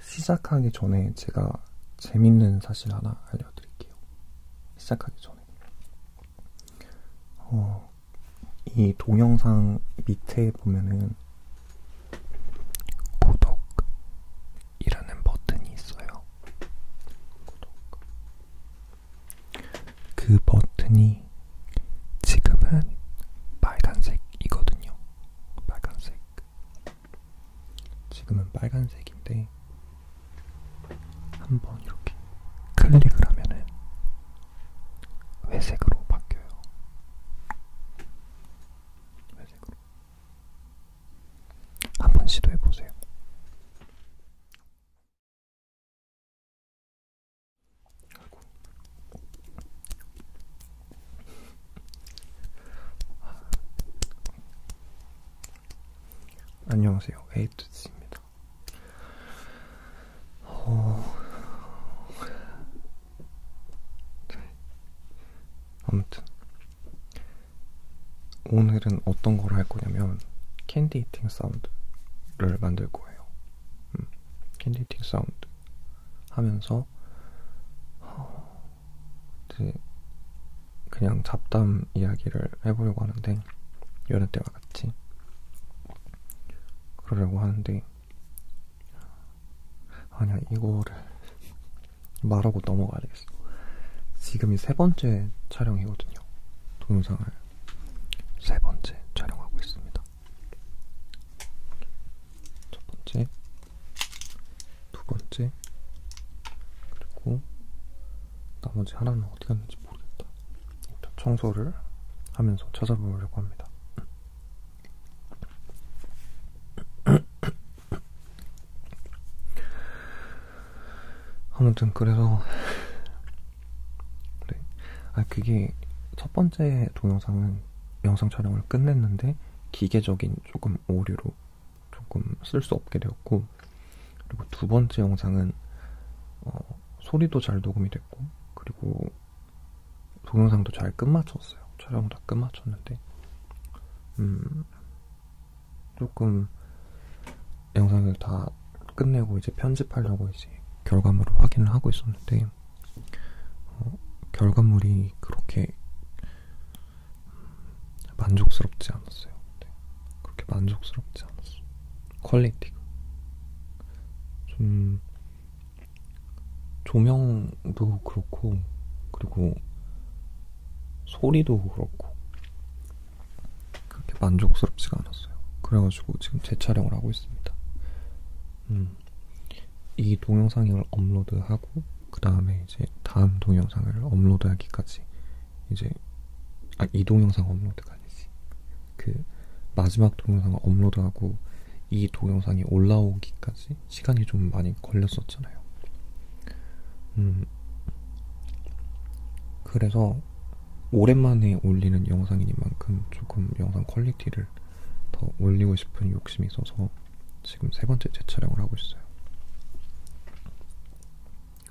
시작하기 전에 제가 재밌는 사실 하나 알려드릴게요. 시작하기 전에. 어, 이 동영상 밑에 보면은 구독, 이라는 버튼이 있어요. 그 버튼이 지금은 빨간색이거든요. 빨간색. 지금은 빨간색인데 한번 이렇게 클릭을 하면은 회색으로 바뀌어요. 회색으로. 한번 시도해보세요. 아이고. 안녕하세요. 에이투스입니다. 어... 아무튼 오늘은 어떤 걸 할 거냐면 캔디 히팅 사운드를 만들 거예요. 음, 캔디 히팅 사운드 하면서 어, 이제 그냥 잡담 이야기를 해보려고 하는데 여느 때와 같이 그러려고 하는데 아니야 이거를 말하고 넘어가야 되겠어. 지금이 세 번째 촬영이거든요. 동영상을 세 번째 촬영하고 있습니다. 첫 번째, 두 번째, 그리고 나머지 하나는 어디 갔는지 모르겠다. 청소를 하면서 찾아보려고 합니다. 아무튼 그래서 네. 아 그게 첫 번째 동영상은 영상 촬영을 끝냈는데 기계적인 조금 오류로 조금 쓸 수 없게 되었고 그리고 두 번째 영상은 어, 소리도 잘 녹음이 됐고 그리고 동영상도 잘 끝마쳤어요 촬영 다 끝마쳤는데 음 조금 영상을 다 끝내고 이제 편집하려고 이제 결과물을 확인을 하고 있었는데 어, 결과물이 그렇게 만족스럽지 않았어요. 네. 그렇게 만족스럽지 않았어. 퀄리티가 좀 조명도 그렇고 그리고 소리도 그렇고 그렇게 만족스럽지가 않았어요. 그래가지고 지금 재촬영을 하고 있습니다. 음, 이 동영상을 업로드하고 그 다음에 이제 다음 동영상을 업로드하기까지 이제 아, 이 동영상 업로드가 아니지. 그 마지막 동영상을 업로드하고 이 동영상이 올라오기까지 시간이 좀 많이 걸렸었 나왔잖아요. 음, 그래서 오랜만에 올리는 영상이니만큼 조금 영상 퀄리티를 더 올리고 싶은 욕심이 있어서 지금 세 번째 재촬영을 하고 있어요.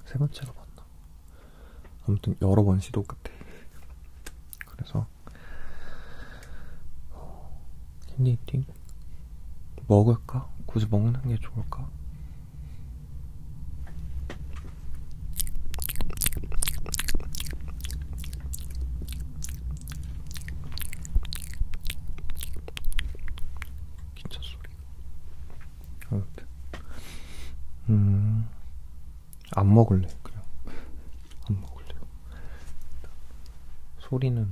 세 번째가 맞나? 아무튼 여러 번 시도 끝에. 그래서 핸디팅 어, 먹을까? 굳이 먹는 게 좋을까? 기차 소리. 아무튼, 음, 안 먹을래 그냥 안 먹을래요. 소리는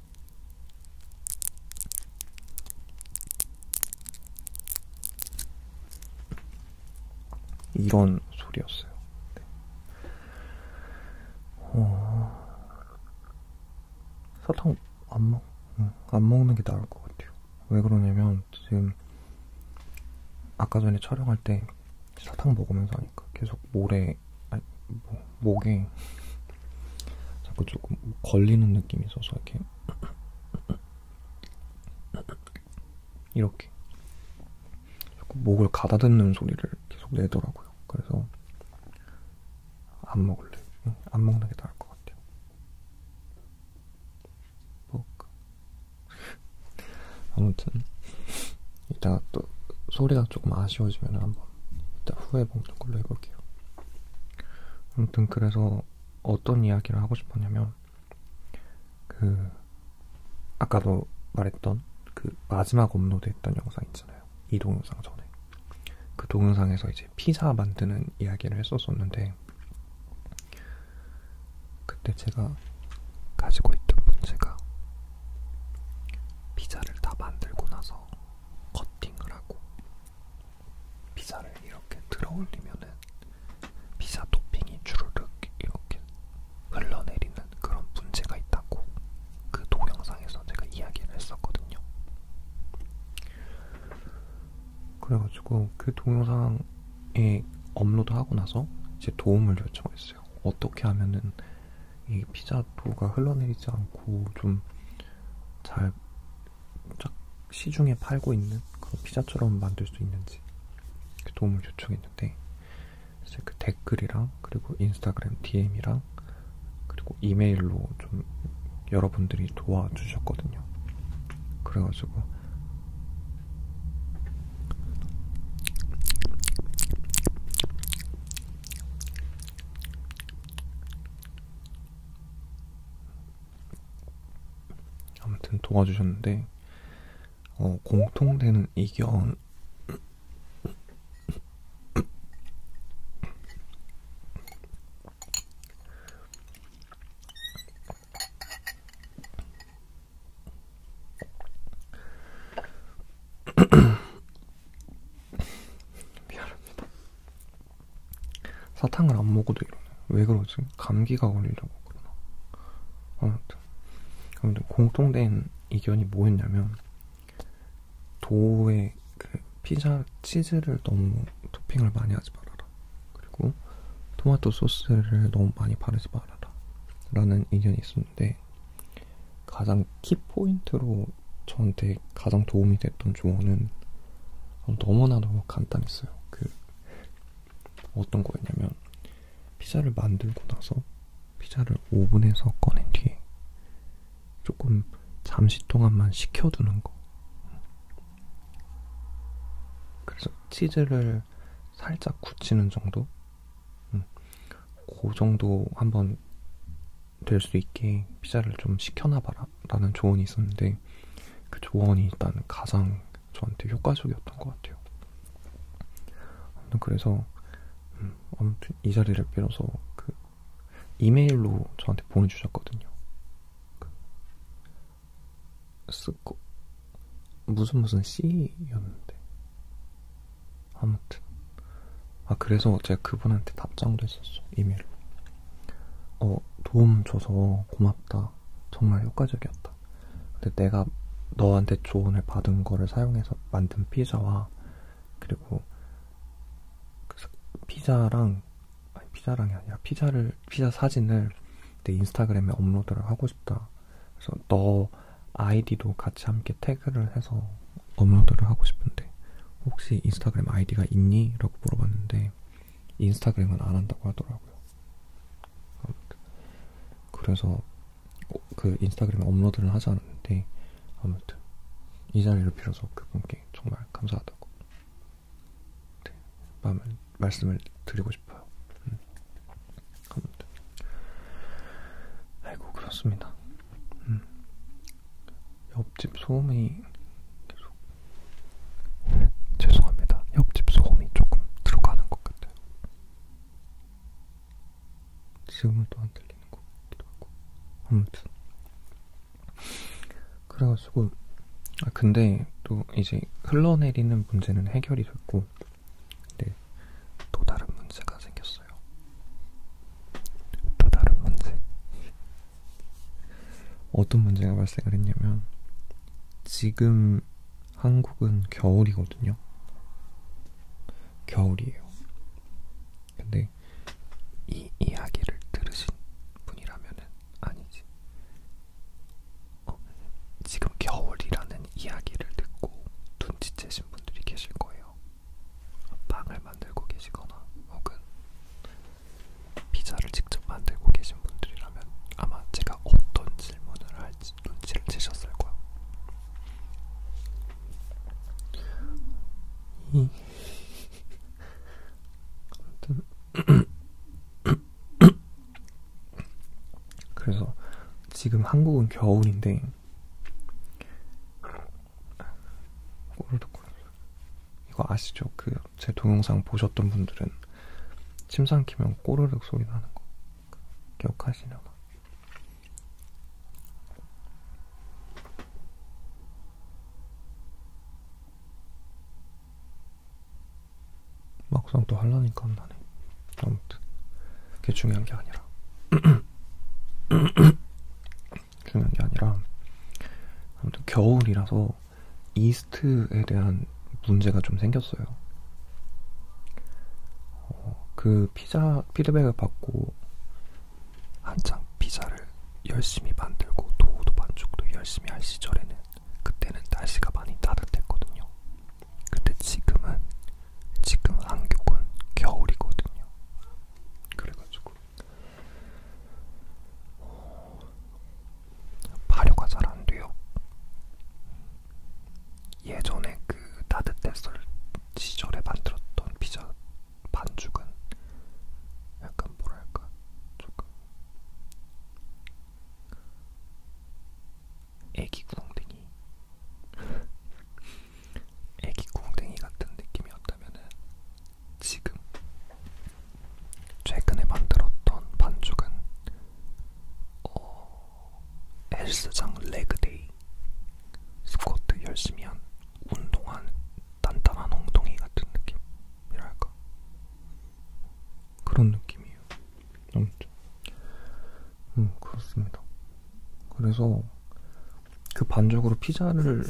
이런 소리였어요. 네. 어... 사탕 안 먹, 응. 안 먹는 게 나을 것 같아요. 왜 그러냐면 지금 아까 전에 촬영할 때 사탕 먹으면서 하니까 계속 모래, 아니, 뭐, 목에 자꾸 조금 걸리는 느낌이 있어서 이렇게 이렇게 자꾸 목을 가다듬는 소리를 계속 내더라고요. 그래서 안 먹을래. 안 먹는 게 나을 것 같아요. 먹을까? 아무튼 이따 또 소리가 조금 아쉬워지면 한번 이따 후회 먹는 걸로 해볼게요. 아무튼 그래서 어떤 이야기를 하고 싶었냐면 그 아까도 말했던 그 마지막 업로드했던 영상 있잖아요. 이 동영상 전에 그 동영상에서 이제 피자 만드는 이야기를 했었었는데 그때 제가 가지고 있던 문제가 피자를 다 만들고 나서 커팅을 하고 피자를 이렇게 들어올리면은 피자 토핑이 주르륵 이렇게 흘러내리는 그런 문제가 있다고 그 동영상에서 제가 이야기를 했었거든요. 그래가지고 그 동영상에 업로드하고 나서 이제 도움을 요청했어요. 어떻게 하면은 이 피자도가 흘러내리지 않고 좀잘 시중에 팔고 있는 그런 피자처럼 만들 수 있는지 그 도움을 요청했는데 이제 그 댓글이랑 그리고 인스타그램 DM이랑 그리고 이메일로 좀 여러분들이 도와주셨거든요. 그래가지고 아무튼 도와주셨는데 어, 공통되는 의견 미안합니다. 사탕을 안 먹어도 이러네. 왜 그러지? 감기가 걸리려고 그러나. 아무튼. 아무튼 공통된 의견이 뭐였냐면, 도우의 그 피자 치즈를 너무 토핑을 많이 하지 말아라. 그리고 토마토 소스를 너무 많이 바르지 말아라. 라는 의견이 있었는데, 가장 키포인트로 저한테 가장 도움이 됐던 조언은 너무나도 간단했어요. 그 어떤 거였냐면 피자를 만들고 나서 피자를 오븐에서 꺼낸 뒤에 조금 잠시 동안만 식혀두는 거. 그래서 치즈를 살짝 굳히는 정도? 음, 그 정도 한번 될수 있게 피자를 좀 시켜놔봐라 라는 조언이 있었는데 그 조언이 일단 가장 저한테 효과적이었던 것 같아요. 아무튼 그래서 음, 아무튼 이 자리를 빌어서 그 이메일로 저한테 보내주셨거든요. 그 쓰고 무슨 무슨 C였는데 아무튼 아 그래서 제가 그분한테 답장도 했었어 이메일로 어 도움 줘서 고맙다 정말 효과적이었다 근데 내가 너한테 조언을 받은 거를 사용해서 만든 피자와 그리고 그 피자랑 아니 피자랑이 아니라 피자를 피자 사진을 내 인스타그램에 업로드를 하고 싶다 그래서 너 아이디도 같이 함께 태그를 해서 업로드를 하고 싶은데 혹시 인스타그램 아이디가 있니? 라고 물어봤는데 인스타그램은 안 한다고 하더라고요. 그래서 어, 그 인스타그램에 업로드를 하지 않았는데 아무튼 이 자리를 빌어서 그분께 정말 감사하다고 네, 말, 말씀을 드리고 싶어요. 음. 아무튼 아이고 그렇습니다. 음. 옆집 소음이 계속 죄송합니다. 옆집 소음이 조금 들어가는 것 같아요. 지금은 또 안 들리는 것 같기도 하고 아무튼 그래가지고 아 근데 또 이제 흘러내리는 문제는 해결이 됐고 네, 또 다른 문제가 생겼어요. 있었어요. 또 다른 문제. 어떤 문제가 발생을 했냐면, 지금 한국은 겨울이거든요. 겨울이에요. 근데 이 이야기를 들으신 분이라면은 아니지. 어, 지금 겨울이라는 이야기를 듣고 눈치채신 분들이 계실 거예요. 빵을 만들고 계시거나 혹은 피자를 직접 만들고 계신 분들이라면 아마 제가 어떤 질문을 할지 눈치를 채셨을 거야. 그래서 지금 한국은 겨울인데 꼬르륵 꼬르륵. 이거 아시죠? 그 제 동영상 보셨던 분들은 침상 키면 꼬르륵 소리 나는 거 기억하시려나? 막상 또 하려니까 안 나네. 아무튼 그게 중요한 게 아니라. 중요한 게 아니라 아무튼 겨울이라서 이스트에 대한 문제가 좀 생겼어요. 어, 그 피자 피드백을 받고 한창 피자를 열심히 만들고 도우도 반죽도 열심히 할 시절에는 그때는 날씨가 많이 따뜻했거든요. 근데 지금은 지금 한국은 겨울이거든요. 그래가지고 어, 발효가 잘 안 돼요. 예전에 그 따뜻했을 시절에 만들었던 피자 반죽은 약간 뭐랄까 조금 애기 구멍댕이 애기 궁뎅이 같은 느낌이었다면은 지금 최근에 만들었던 반죽은 어, 헬스장 레그데이 스쿼트 열심히 한 운동한 단단한 엉덩이 같은 느낌이랄까 그런 느낌이에요. 아무튼 음 그렇습니다. 그래서 그 반죽으로 피자를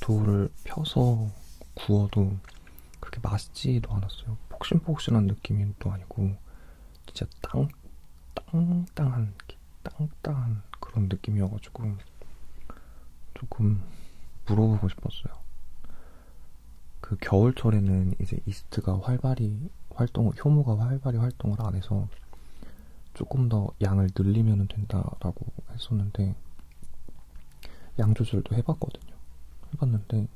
도우를 펴서 구워도 그렇게 맛있지도 않았어요. 폭신폭신한 느낌이 또 아니고 진짜 땅 땅땅한 땅땅한 그런 느낌이어가지고 조금 물어보고 싶었어요. 그 겨울철에는 이제 이스트가 활발히 활동을 효모가 활발히 활동을 안 해서 조금 더 양을 늘리면 된다라고 했었는데 양 조절도 해봤거든요. 해봤는데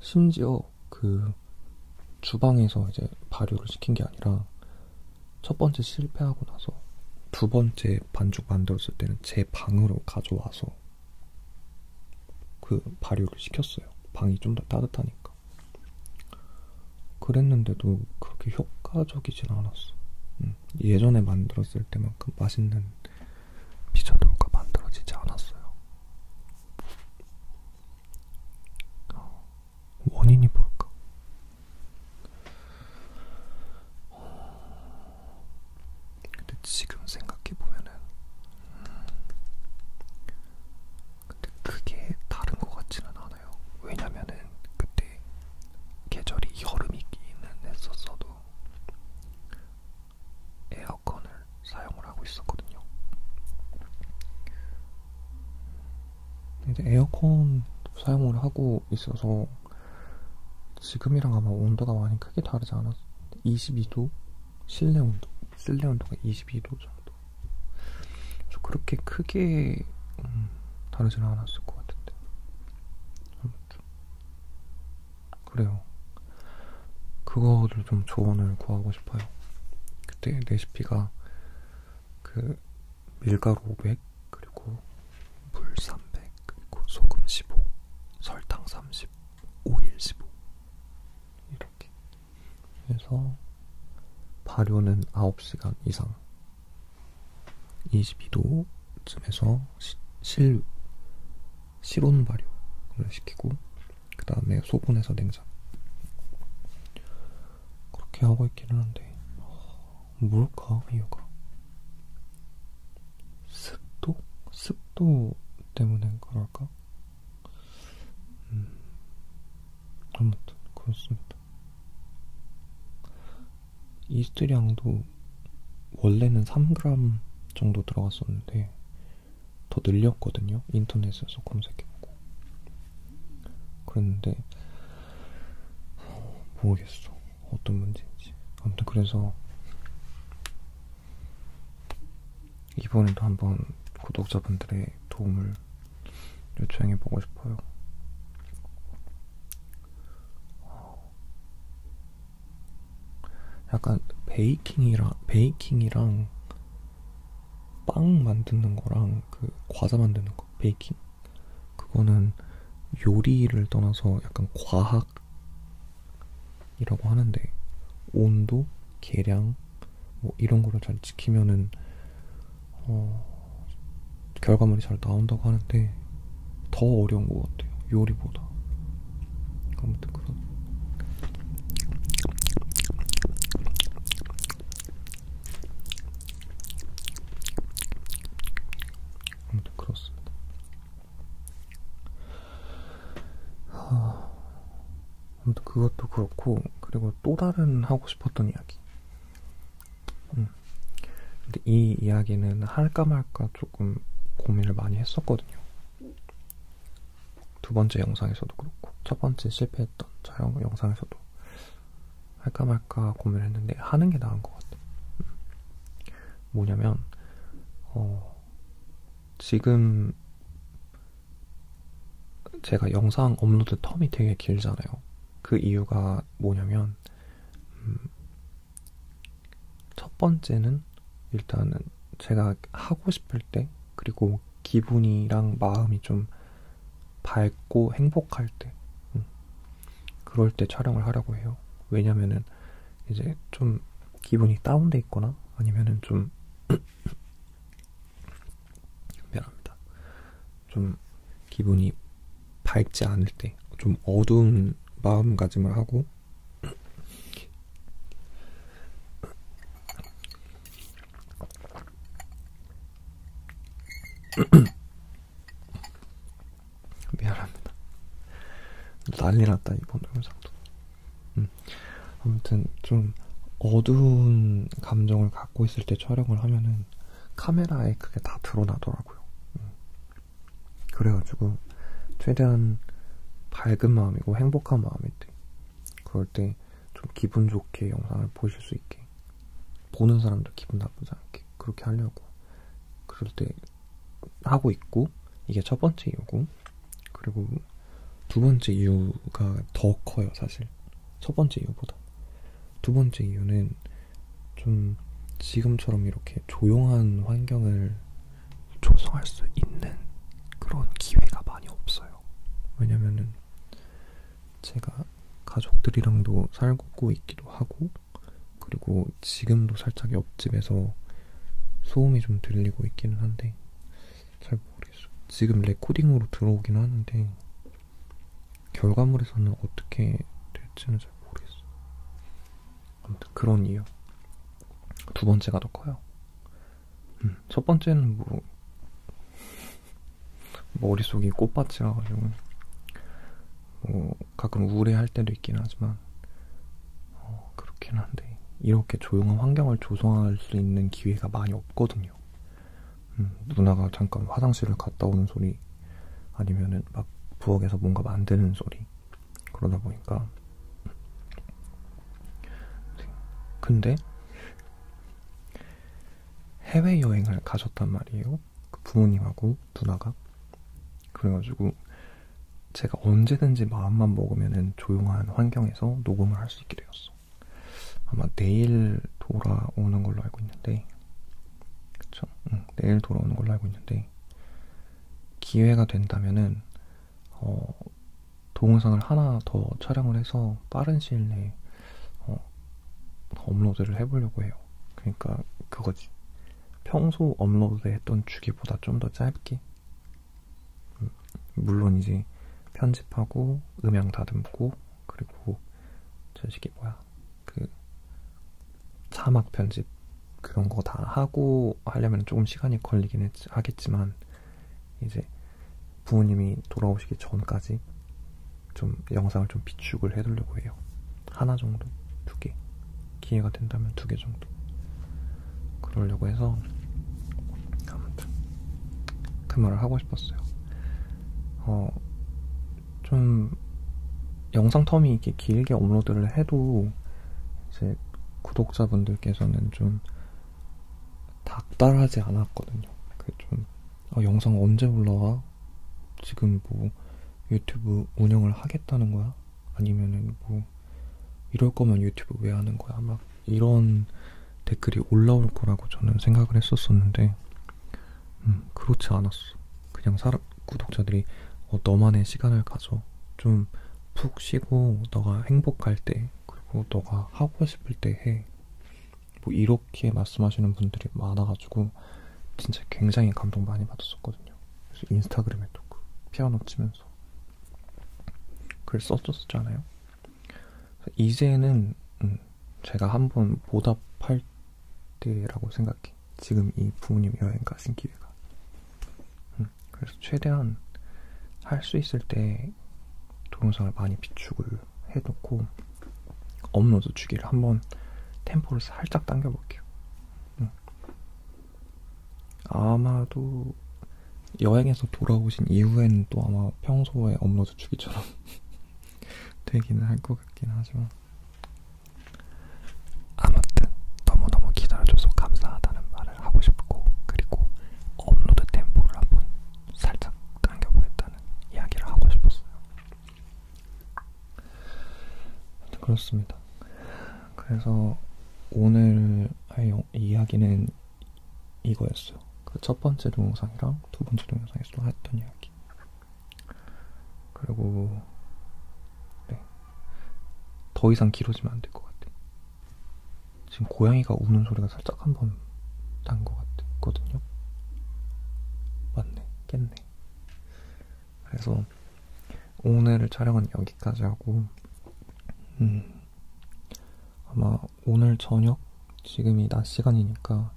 심지어 그 주방에서 이제 발효를 시킨 게 아니라 첫 번째 실패하고 나서 두 번째 반죽 만들었을 때는 제 방으로 가져와서 그 발효를 시켰어요. 방이 좀 더 따뜻하니까. 하니까. 그러니까. 그랬는데도 그렇게 효과적이진 않았어. 음, 예전에 만들었을 때만큼 맛있는 피자도가 만들어지지 않았어요. 어, 원인이 뭘까? 근데 지금 생각해보면은, 음, 근데 크게 다른 것 같지는 않아요. 왜냐면은 그때 계절이 여름이기는 했었어도 에어컨을 사용을 하고 있었거든요. 이제 에어컨 사용을 하고 있어서 지금이랑 아마 온도가 많이 크게 다르지 않았어. 22도? 실내 온도? 실내 온도가 22도죠. 정도. 그래서 그렇게 크게 음, 다르지는 않았을 것 같은데. 아무튼 그래요. 그거를 좀 조언을 구하고 싶어요. 그때 레시피가 그 밀가루 500 그리고 물 300 그리고 소금 15 설탕 30 오일 15 이렇게 그래서 발효는 9시간 이상 22도쯤에서 시, 실, 실온 발효를 시키고 그 다음에 소분해서 냉장 그렇게 하고 있기는 한데 어, 뭘까 이유가 습도? 습도 때문에 그럴까? 음, 아무튼 그렇습니다 이스트량도 원래는 3g 정도 들어갔었는데 더 늘렸거든요. 인터넷에서 검색해보고. 그랬는데 모르겠어. 어떤 문제인지. 아무튼 그래서 이번에도 한번 구독자분들의 도움을 요청해 보고 싶어요. 어, 약간 베이킹이랑 베이킹이랑 빵 만드는 거랑 그 과자 만드는 거 베이킹 그거는 요리를 떠나서 약간 과학이라고 하는데 온도, 계량, 뭐 이런 거를 잘 지키면은 어, 결과물이 잘 나온다고 하는데 더 어려운 것 같아요. 요리보다. 아무튼 그런. 아무튼 그렇습니다. 하... 아무튼 그것도 그렇고 그리고 또 다른 하고 싶었던 이야기. 음. 근데 이 이야기는 할까 말까 조금 고민을 많이 했었거든요. 두 번째 영상에서도 그렇고 첫 번째 실패했던 촬영 영상에서도 할까 말까 고민을 했는데 하는 게 나은 것 같아요. 음. 뭐냐면 어, 지금 제가 영상 업로드 텀이 되게 길잖아요. 그 이유가 뭐냐면, 음, 첫 번째는 일단은 제가 하고 싶을 때, 그리고 기분이랑 마음이 좀 밝고 행복할 때, 음, 그럴 때 촬영을 하려고 해요. 왜냐면은 이제 좀 기분이 다운돼 있거나 아니면은 좀 미안합니다. 좀 기분이 밝지 않을 때, 좀 어두운 마음가짐을 하고, 미안합니다. 난리 났다, 이번 영상도. 음. 아무튼 좀 어두운 감정을 갖고 있을 때 촬영을 하면은 카메라에 그게 다 드러나더라고요. 음. 그래가지고 최대한 밝은 마음이고 행복한 마음일 때, 그럴 때 좀 기분 좋게 영상을 보실 수 있게, 보는 사람도 기분 나쁘지 않게 그렇게 하려고 그럴 때 하고 있고 이게 첫 번째 이유고 그리고 두 번째 이유가 더 커요 사실. 첫 번째 이유보다. 두 번째 이유는 좀 지금처럼 이렇게 조용한 환경을 조성할 수 있는 그런 기회가 많이 없어요. 왜냐면은 제가 가족들이랑도 살고 있기도 하고, 그리고 지금도 살짝 옆집에서 소음이 좀 들리고 있기는 한데, 잘 모르겠어. 지금 레코딩으로 들어오긴 하는데 결과물에서는 어떻게 될지는 잘 모르겠어. 아무튼 그런 이유. 두 번째가 더 커요. 음, 첫 번째는 뭐 머릿속이 꽃밭이라 가지고 뭐 가끔 우울해할 때도 있긴 하지만 어, 그렇긴 한데 이렇게 조용한 환경을 조성할 수 있는 기회가 많이 없거든요. 음, 누나가 잠깐 화장실을 갔다 오는 소리 아니면은 막 부엌에서 뭔가 만드는 소리 그러다 보니까 근데 해외여행을 가셨단 말이에요 그 부모님하고 누나가 그래가지고 제가 언제든지 마음만 먹으면 조용한 환경에서 녹음을 할 수 있게 되었어 아마 내일 돌아오는 걸로 알고 있는데, 그쵸? 응, 내일 돌아오는 걸로 알고 있는데, 기회가 된다면은, 어, 동영상을 하나 더 촬영을 해서 빠른 시일 내에 어, 업로드를 해보려고 해요. 그러니까 그거지. 평소 업로드 했던 주기보다 좀 더 짧게. 음, 물론 이제 편집하고 음향 다듬고 그리고 저식이 뭐야 그 사막 편집 그런 거 다 하고 하려면 조금 시간이 걸리긴 했, 하겠지만 이제 부모님이 돌아오시기 전까지 좀 영상을 좀 비축을 해두려고 해요. 하나 정도, 두 개. 기회가 된다면 두 개 정도. 그러려고 해서 아무튼 그 말을 하고 싶었어요. 어, 좀 영상 텀이 이렇게 길게 업로드를 해도 이제 구독자분들께서는 좀 닥달하지 않았거든요. 그좀 어, 영상 언제 올라와? 지금 뭐 유튜브 운영을 하겠다는 거야? 아니면은 뭐 이럴 거면 유튜브 왜 하는 거야? 막 이런 댓글이 올라올 거라고 저는 생각을 했었었는데 음, 그렇지 않았어. 그냥 사람, 구독자들이 어, 너만의 시간을 가져. 좀 푹 쉬고 너가 행복할 때 그리고 너가 하고 싶을 때 해. 뭐 이렇게 말씀하시는 분들이 많아가지고 진짜 굉장히 감동 많이 받았었거든요. 그래서 인스타그램에도 그 피아노 치면서 글 썼었잖아요. 이제는 음, 제가 한번 보답할 때라고 생각해. 지금 이 부모님 여행 가신 기회가. 음, 그래서 최대한 할 수 있을 때 동영상을 많이 비축을 해놓고 업로드 주기를 한번 템포를 살짝 당겨볼게요. 음. 아마도 여행에서 돌아오신 이후에는 또 아마 평소에 업로드 주기처럼 되기는 할 것 같긴 하지만 아무튼 너무너무 기다려줘서 감사하다는 말을 하고 싶고 그리고 업로드 템포를 한번 살짝 당겨보겠다는 이야기를 하고 싶었어요. 그렇습니다. 그래서 오늘 할 이야기는 이거였어요. 그 첫 번째 동영상이랑 두 번째 동영상에서도 했던 이야기. 그리고 네. 더 이상 길어지면 안 될 것 같아. 지금 고양이가 우는 소리가 살짝 한번 난 것 같거든요. 맞네, 깼네. 그래서 오늘을 촬영은 여기까지 하고, 음, 아마 오늘 저녁 지금이 낮 시간이니까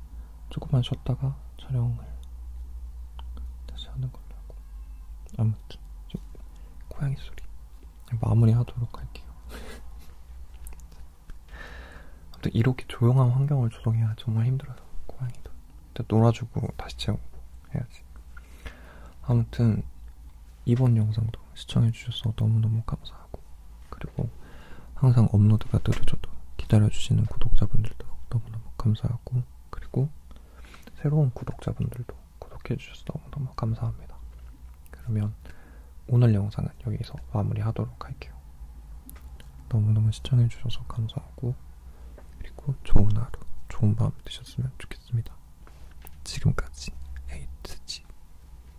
조금만 쉬었다가 촬영을 다시 하는 걸로 하고 아무튼 좀 고양이 소리 마무리하도록 할게요. 아무튼 이렇게 조용한 환경을 조성해야 정말 힘들어요 고양이도 일단 놀아주고 다시 재우고 해야지. 아무튼 이번 영상도 시청해주셔서 너무너무 감사하고 그리고 항상 업로드가 느려져도 기다려주시는 구독자분들도 너무너무 감사하고 그리고 새로운 구독자분들도 구독해주셔서 너무너무 감사합니다. 그러면 오늘 영상은 여기서 마무리하도록 할게요. 너무너무 시청해주셔서 감사하고 그리고 좋은 하루, 좋은 밤 되셨으면 좋겠습니다. 지금까지 에이트지